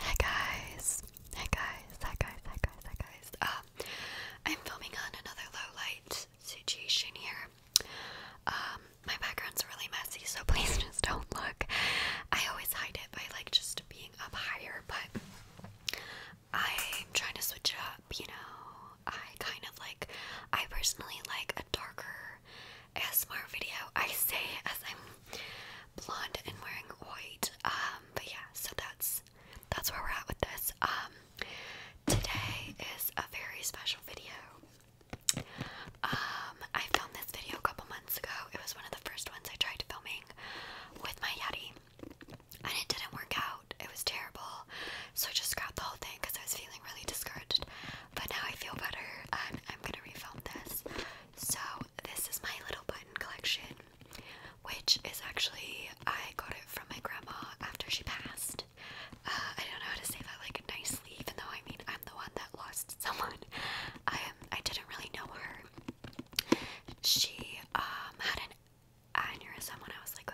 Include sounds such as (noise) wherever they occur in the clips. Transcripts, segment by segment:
Hi guys, hi guys, hi guys, hi guys, hi guys. Uh, I'm filming on another low light situation here. Um, my background's really messy, so (laughs) please just don't look. I always hide it by like just being up higher, but I'm trying to switch it up. You know, I kind of like. I personally like a darker ASMR video. I say as I'm blonde and wearing white. Um, but yeah, so that's that's where we're at with this. Um, today is a very special video. Um, I filmed this video a couple months ago. It was one of the first ones I tried filming with my Yeti, and it didn't work out. It was terrible, so I just scrapped the whole thing because I was feeling really discouraged. But now I feel better, and I'm gonna refilm this. So this is my little button collection, which is actually I got it from my grandma after she passed. Uh, I don't know how to say that like nicely, even though I mean I'm the one that lost (laughs) someone. I I didn't really know her. She um had an aneurysm when I was like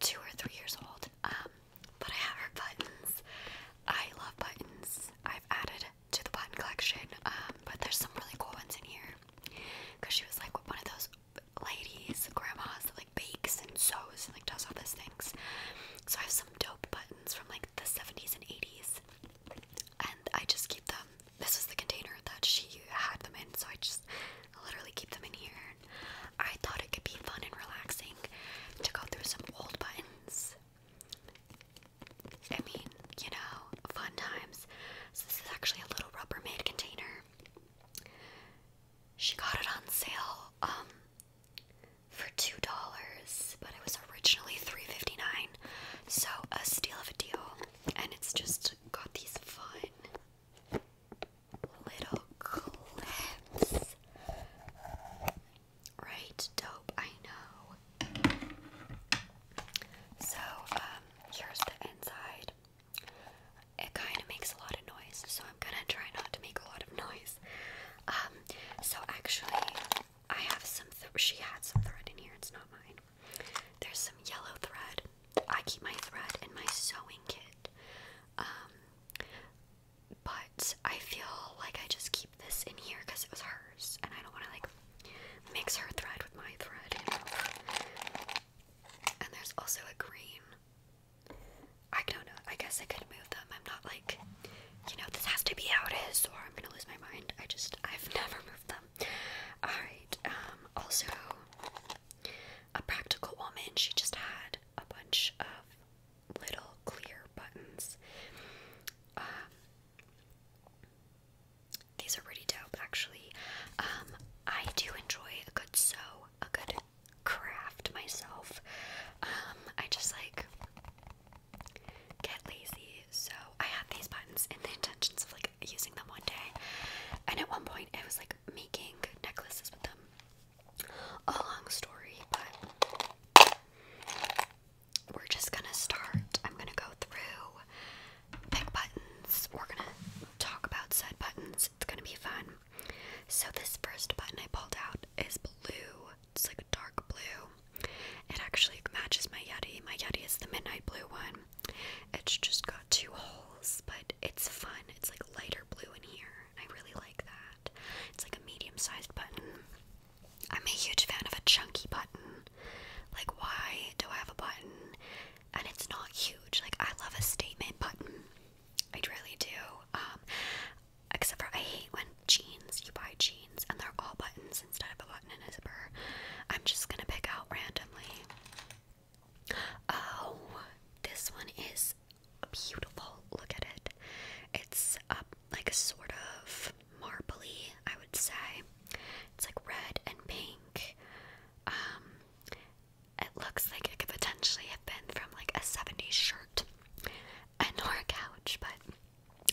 two or three years old. Um, but I have her buttons. I love buttons. I've added to the button collection, um, but there's some really cool ones in here. Cause she was like one of those ladies, grandmas that like bakes and sews and like does all those things. So I have some dope buttons from like the 70s and 80s, and I just keep them. This was the container that she had them in, so I just literally keep them in here. I thought it could be fun and relaxing to go through some old buttons I mean, you know, fun times. So this is actually a little Rubbermaid container. She got it on sale um, for two dollars, but it was originally three fifty nine. So a steal of a deal, and it's just got these fun little clips. Right? Dope, I know. So, um, here's the inside. It kind of makes a lot of noise, so I'm gonna try not to make a lot of (laughs) noise. Um, so actually, I have some, she had some thread in here, it's not mine. There's some yellow thread. I keep my thread in my sewing kit. Um, but I feel like I just keep this in here because it was hers, and I don't want to like mix her thread with my thread. And there's also a green. I don't know. I guess I could move them. I'm not like, you know, this has to be how it is, or I'm gonna lose my mind. I just, I've (laughs) never moved them. Alright, um, also, a practical woman, she just had a bunch of little clear buttons. Um, these are pretty dope, actually. Um, I do enjoy a good sew, a good craft myself. Um, I just like get lazy, so I had these buttons in the intentions of like using them one day, and at one point I was like making necklaces with them. A long story, but we're just gonna start. I'm gonna go through, pick buttons. We're gonna talk about said buttons. It's gonna be fun. So, this first button I pulled out is blue. It's like a dark blue. It actually matches my Yeti. My Yeti is the midnight blue one. It's just got two holes, but it's fun. It's like lighter blue in here. I really like that. It's like a medium sized button. I'm a huge fan of a chunky button. Like, why do I have a button? And it's not huge. Like, I love a statement button. I really do. Um, except for I hate when jeans, you buy jeans and they're all buttons instead of a button and a zipper. I'm just gonna pick out randomly. Oh, this one is beautiful. Look at it. It's a um, like a sort of marbly, I would say. It's like red and pink. Um, it looks like it could potentially have been from like a 70s shirt and or a couch, but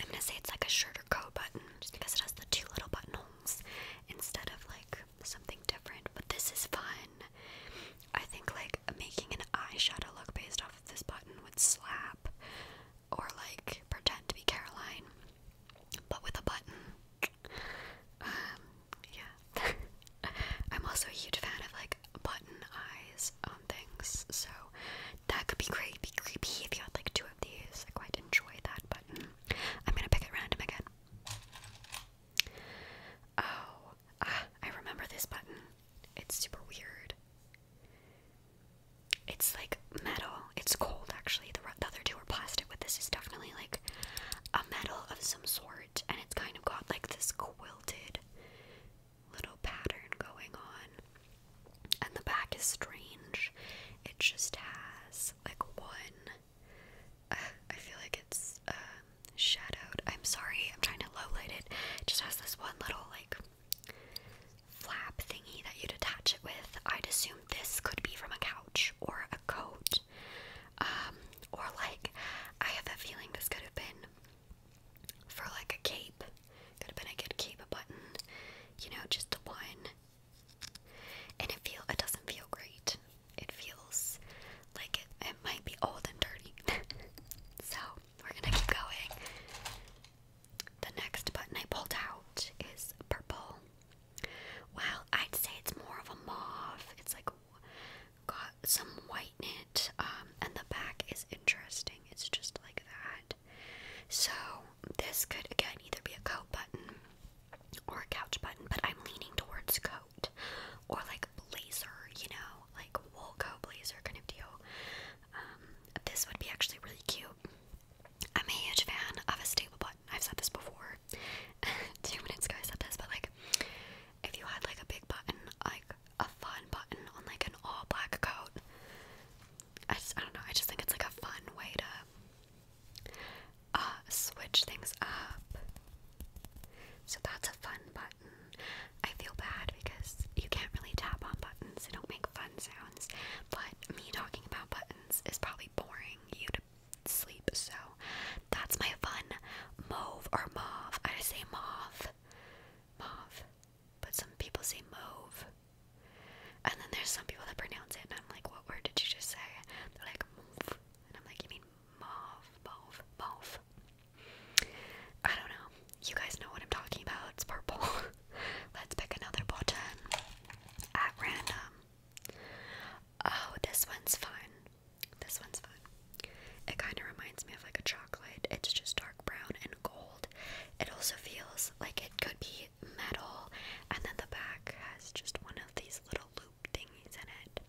I'm gonna say it's like a shirt or coat button just because it has the two little buttonholes instead of like something different. But this is fun. I think like making an eyeshadow look based off of this button would slap or like pretend to be Caroline, but with a button. Um, yeah. (laughs) I'm also a huge fan of like button eyes on things, so that could be creepy, creepy if you had like two of these. I quite enjoy that button. I'm gonna pick it random again. Oh, ah, I remember this button. It's super weird. It's like metal. It's cold actually. The, other two are plastic, but this is definitely like a metal of some sort, and it's kind of got like this quilted little pattern going on. And the back is strange. It just has like one. Uh, I feel like it's um, shadowed. I'm sorry, I'm trying to low light it. Just has this one little like flap thingy that you'd attach it with. I'd assume this could be from a couch or a coat. Um, or like, I have a feeling this could have been for like a cape. Could have been a good cape button. You know, just the one. And it feel it doesn't feel great. It feels like it, it might be old and dirty. (laughs) so we're gonna keep going. The next button I pulled out is purple. Well, I'd say it's more of a mauve. It's like got some white in um, and the back is interesting. It's just like that. So this could again either be a coat button or a couch button, but I'm leaning towards coat or like blazer, you know, like wool coat blazer kind of deal. Um, this would be actually really cute. I'm a huge fan of a stable button. I've said this before. (laughs) Two minutes ago I said this, but like if you had like a big button, like a fun button on like an all black coat. I just I don't know, I just think it's like a fun way to uh, switch things up. So that's a fun button. I feel bad because you can't really tap on buttons. They don't make fun sounds, but me talking about buttons is probably boring you to sleep, so that's my fun move or mauve. I just say mauve. Mauve. But some people say move. And then there's some people that pronounce it and I'm like, what word did you just say? They're like mauve. And I'm like, you mean mauve, mauve, mauve. I don't know you guys know what I'm talking about. It's purple. (laughs) Let's pick another button at random. Oh, this one's fun. This one's fun. It kind of reminds me of like a chocolate. It's just dark brown and gold. It also feels like it could be metal, and then the back has just one of these little loop thingies in it.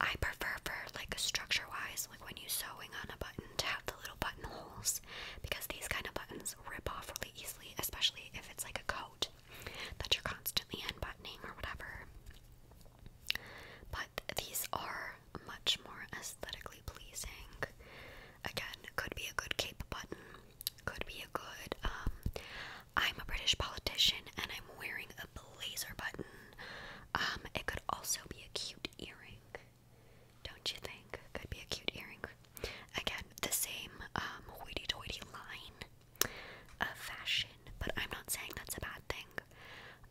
I prefer for like structure wise, like when you're sewing on a button to have the little buttonholes because these kind of buttons rip off really easily, especially if it's like a coat that you're constantly unbuttoning or whatever. But these are much more aesthetically pleasing. Again, could be a good cape button, could be a good, um, I'm a British politician and I'm wearing a blazer button. Um, it could also be a cute earring. Don't you think? Could be a cute earring. Again, the same um, hoity toity line of fashion, but I'm not saying that's a bad thing.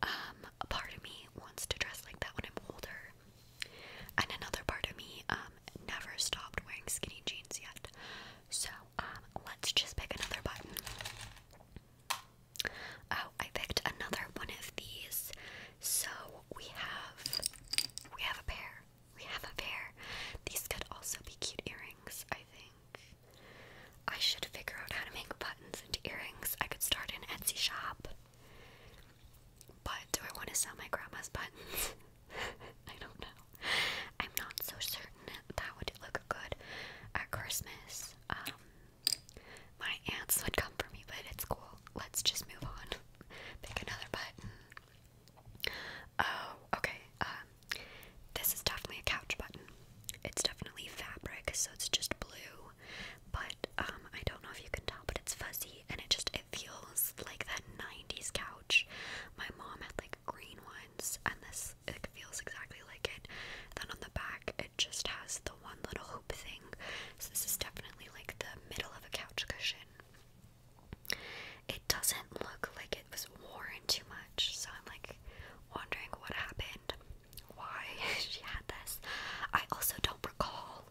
Um, a part of me wants to dress like that when I'm older, and another part of me um, never stopped wearing skinny jeans yet. So let's just pick another button. Oh, I picked another one of these so we have we have a pair. We have a pair. These could also be cute earrings, I think. I should figure out how to make buttons into earrings. I could start an Etsy shop. But do I want to sell my grandma's buttons? (laughs) I don't know. I'm not so certain that would look good at Christmas. Um, my aunts would come for me, but it's cool. Let's just move on. Pick another button. Oh, okay. Um, this is definitely a couch button. It's definitely fabric, so it's just blue. But um, I don't know if you can tell, but it's fuzzy, and it just it feels like that '90s couch. My mom had like green ones, and this it feels exactly like it. Then on the back, it just has the one little hoop thing. So this is definitely like the middle of a couch cushion. It doesn't look like it was worn too much, so I'm like wondering what happened, why (laughs) she had this. I also don't recall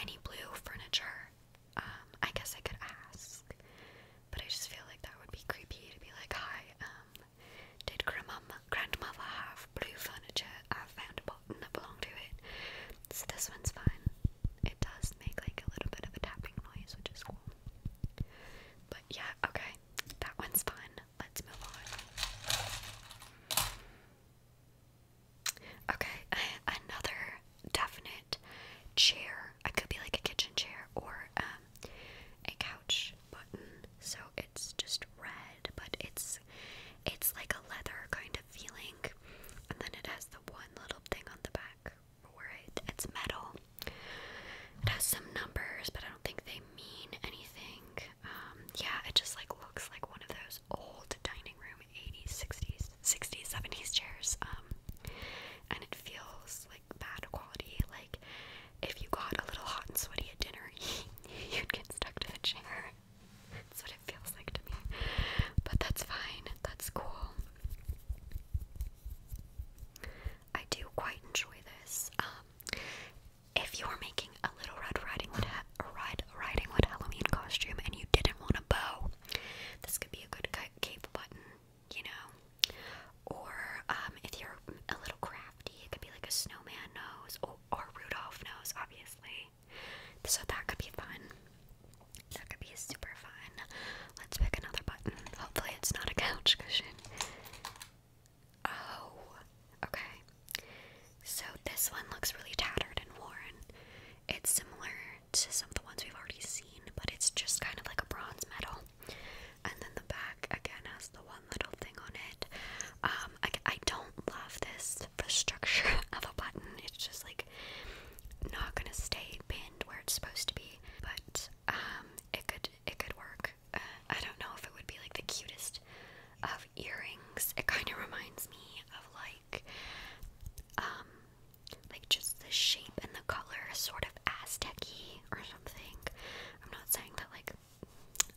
any blue furniture. Um, I guess I could ask, but I just feel like that would be creepy to be like, hi, um, did Grandma, grandmother have blue furniture? I found button that to it. So this one's fine. It does make like a little bit of a tapping noise, which is cool. But yeah, okay. That one's fine. Let's move on. Okay, another definite chair. It could be like a kitchen chair or um, a couch button. So it's just red, but it's it's like a leather kind of feeling, and then it has the one little thing on the back for it. It's metal. It has some numbers, but I don't think they mean anything. Um, yeah, it just like looks like one of those old dining room 80s, 60s, 60s, 70s chairs. Um, and it feels like bad quality. Like if you got a little hot and sweaty at dinner, (laughs) you'd get stuck to the chair that's what it feels like to me. But that's fine, that's cool. I do quite enjoy this. Um, if you are making a little Red Riding Hood, Red Riding Hood Halloween costume and you didn't want a bow, this could be a good cape button, you know. Or um, if you're a little crafty, it could be like a snowman nose or Rudolph nose, obviously. So that could be fun. That could be super fun. Let's pick another button. Hopefully, it's not a couch cushion. Oh, okay. So this one looks really tattered and worn. It's similar to some of the ones we've already seen, but it's just kind of like a bronze medal. And then the back again has the one little thing on it. Um, um, I, don't love this the structure (laughs) of a button. It's just like not gonna stay pinned where it's supposed to be. But um, it could it could work. Uh, I don't know if it would be like the cutest of earrings. It kind of reminds me of like um, like just the shape and the color, sort of aztec or something. I'm not saying that like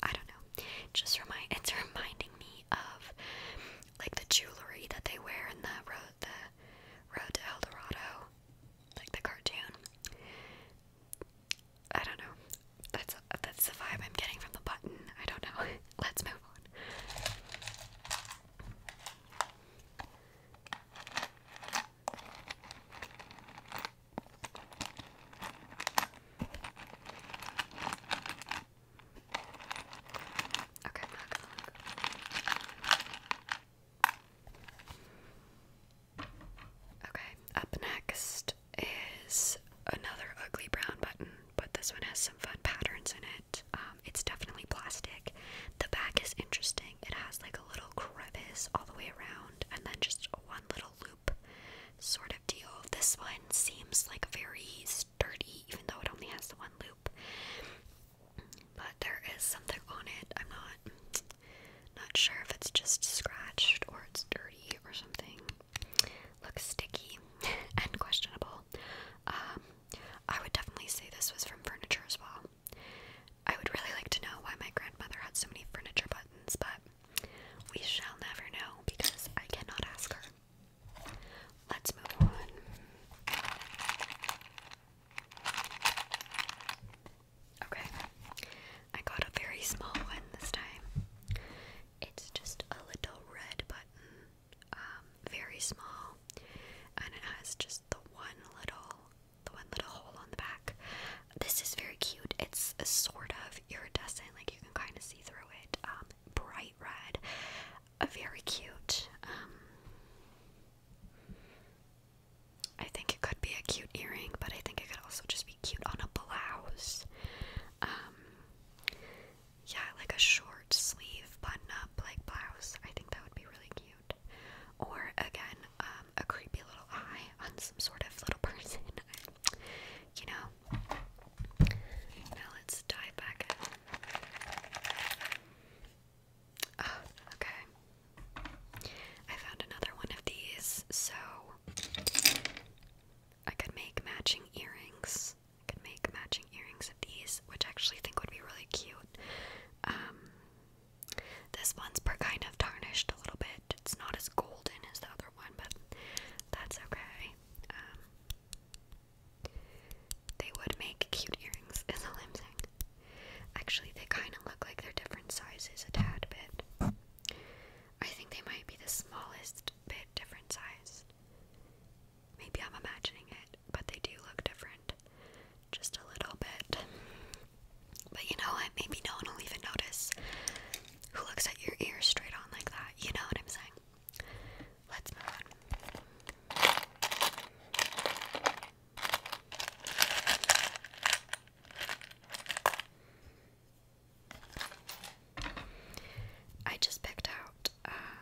I don't know. Just remind it's reminding me of like the jewelry that they wear in the road the road to El Dorado, like the cartoon. I don't know. That's that's the vibe I'm getting from the button. I don't know. (laughs) Let's move on. Okay, Okay, up next is another ugly brown button, but this one has some fun patterns in it. Um, it's definitely plastic. The back is interesting. It has like a little crevice all the way around, and then just one little loop sort of deal. This one seems like very sturdy, even though it only has the one loop. But there is something on it. I'm not not sure if it's just scratched or it's dirty or something. Looks sticky (laughs) and questionable. Um, I would definitely say this was from furniture as well. I would really like to know why my grandmother had so many furniture buttons, but we shall never know because I cannot ask her. Let's move on. Okay, I got a very small one this time. It's just a little red button, um, very small, and it has just the one little, the one little hole on the back. This is very cute. It's sort of iridescent, like you can kind of see through it. Um, bright red. A very cute. Um, I think it could be a cute earring, but I think it could also just be cute on a blouse. Um, yeah, like a short sleeve button up like blouse. I think that would be really cute. Or again, um, a creepy little eye on some sort of little (laughs) person. you know, now let's dive back in. Ah, okay. I found another one of these, so I could make matching earrings. I could make matching earrings of these, which I actually think would be really cute. Um, this one's per kind of tarnished a little bit. It's not as golden as the other one, but that's okay. Um, they would make cute earrings, as a lensing. Actually, they kind of look like they're different sizes a tad bit. I think they might be the smallest bit different size. Maybe I'm imagining it, but they do look different. Just a little bit. But you know what? Maybe no one will even notice who looks at your ear straight on like that. You know what I'm saying? Let's move on. I just picked out uh,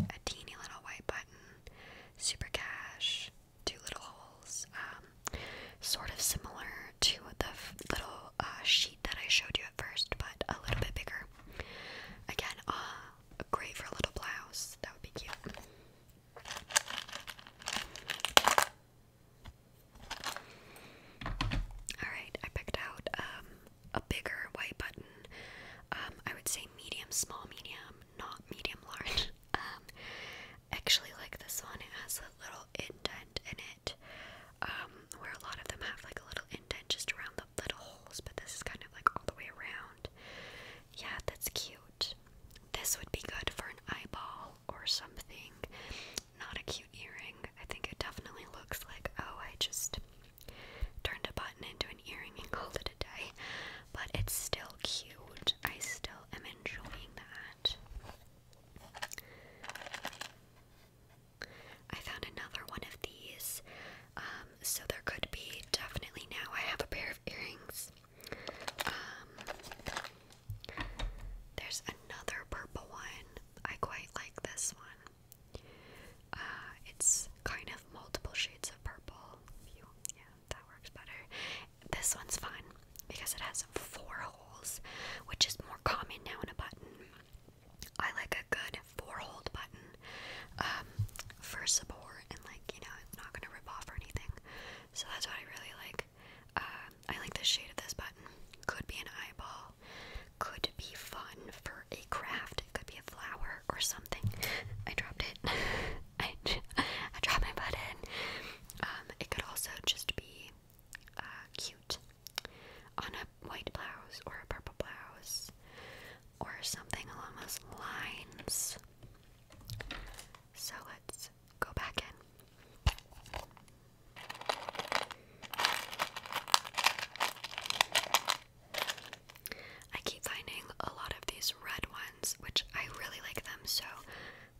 a teeny little white button, super cash, two little holes, um, sort of similar to the little uh, sheet that I showed you at first, but a little bit bigger. Again, uh, great for a little blouse. That would be cute. Alright, I picked out um, a bigger white button. Um, I would say medium, small, medium, not medium, large. (laughs) Um, actually like this one. It has a little indent in um, where a lot of them have like a little indent just around the little holes, but this is kind of like all the way around. Yeah, that's cute. This would be good for an eyeball or something. Not a cute earring. I think it definitely looks like, oh, I just turned a button into an earring and (laughs) called it a day. But it's still cute. I still am enjoying that. I found another one of these, um, so there could be definitely now. I have a pair of earrings. Um, there's another purple one. I quite like this one. Uh, it's kind of multiple shades of purple. yeah, that works better. This one's fun because it has four holes, which is more common now in a button. I like a good four-hole button um, for support and like you know it's not gonna rip off or anything. So that's why I really like. Uh, I like the shade of this button. Could be an eyeball. Could be fun for a craft. It could be a flower or something. I dropped it. (laughs) (laughs) I, dropped my button. Um, it could also just be uh, cute on a white blouse or a purple blouse or something along those lines. So let's go back in. I keep finding a lot of these red ones, which I really like them, so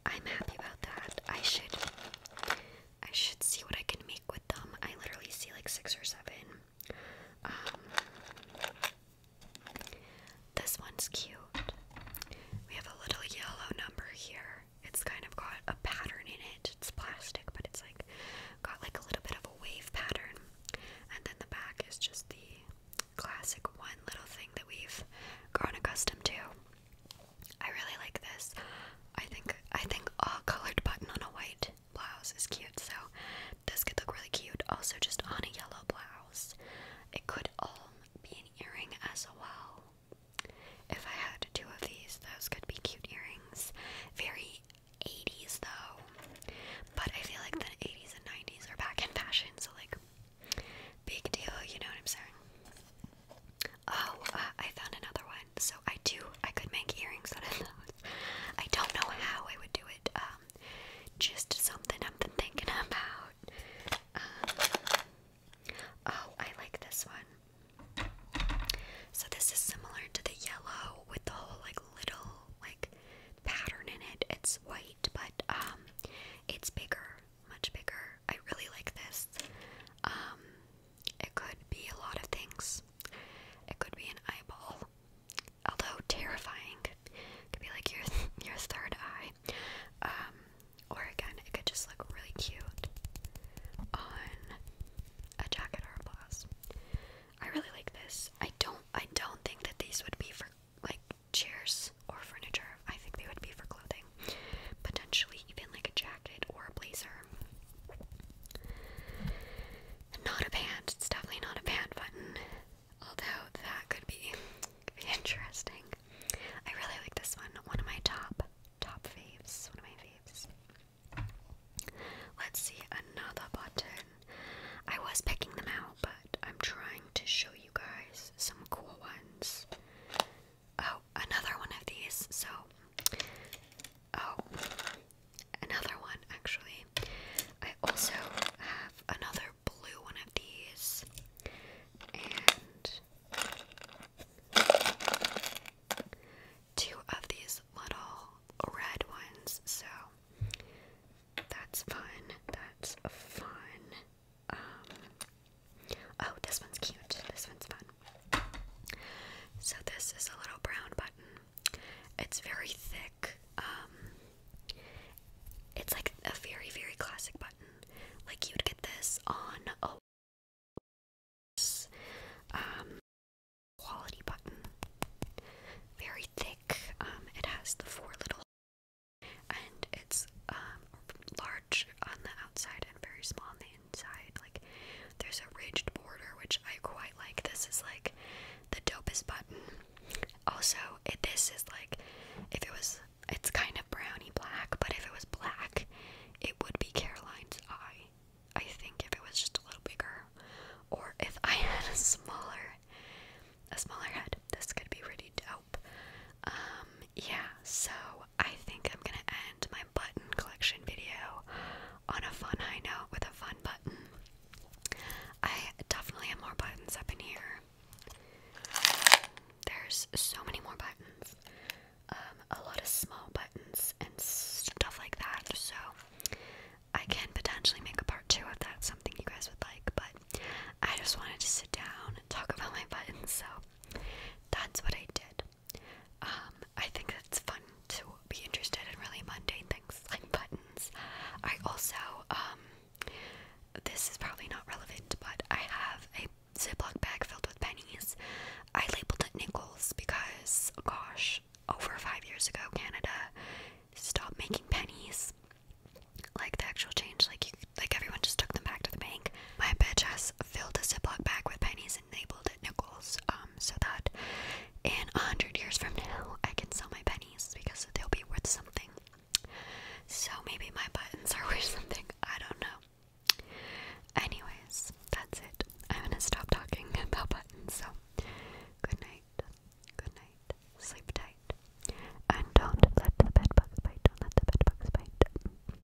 I'm happy about that. I should I should see what I can make with them. I literally see like six or seven. Um, this one's cute. We have a little yellow number here. It's kind of got a pattern in it. It's plastic, but it's like got like a little bit of a wave pattern. And then the back is just the classic one little thing that we've grown accustomed to. I really like this. I think I think a colored button on a white blouse is cute, so this could look really cute. Also, just on a yellow blouse, it could all be an earring as well. If I had two of these, those could be cute earrings. Very 80s though, but I feel like the 80s and 90s are back in fashion, so like big deal. You know what I'm saying? Oh, uh, I found another one. So I do, I could make earrings out of those. I don't know how I would do it. Um, just something I've been thinking about. Um, oh, I like this one. So this is similar to the yellow with the whole like little like pattern in it. It's white, but um, it's bigger, much bigger. I really like this. Um, it could be a lot of things. It could be an eyeball, although terrifying. It could be like your (laughs) your third eye, um, or again, it could just look really cute on a jacket or a blouse. I really like this. I don't. I don't think that these would be for like chairs or furniture. I think they would be for clothing potentially even like a jacket or a blazer. Not a pant, it's definitely not a pant button, although that could be, (laughs) interesting. I really like this one, one of my top, top faves, one of my faves. Let's see another button. I was picking them out, but I'm trying to show you guys some cool ones Oh, another one of these. So, oh, another one actually. I also have another blue one of these. And two of these little red ones. So, that's fun. That's fun. Um, Oh, this one's cute. This one's fun. So this is a little brown button. It's very thick. Um, it's like a very, very classic button. Like you'd get this on a um, quality button. Very thick. Um, it has the four little and it's um, large on the outside and very small on the like there's a ridged border, which I quite like. This is like the dopest button. Also, this is like if it was, it's kind of brownie black, but if it was black, it would be Caroline's eye. I think if it was just a little bigger, or if I (laughs) had a smaller, a smaller head, this could be really dope. Um, yeah, so I think I'm gonna end my button collection video on a fun high note with a fun button. I definitely have more buttons up in here. There's so many more buttons. Um, a lot of small buttons and stuff like that. So I can potentially make a part two if that's something you guys would like, but I just wanted to sit down and talk about my buttons, so that's what I did. Um, I think it's fun to be interested in really mundane things (laughs) like buttons. I also, um, this is probably not relevant, but I have a Ziploc bag filled with pennies. I labeled it nickels because, gosh, over five years ago, Canada stopped making pennies. Like the actual change, like like everyone just took them back to the bank. My bitch ass filled a Ziploc bag with pennies and labeled it nickels, um, so that in a hundred years from now I can sell my pennies because they'll be worth something. So maybe my buttons are (laughs) worth something. I don't know. Anyways, that's it. I'm gonna stop talking (laughs) about buttons. So, good night. Good night. Sleep tight. And don't let the bed bite. Don't let the bed bite.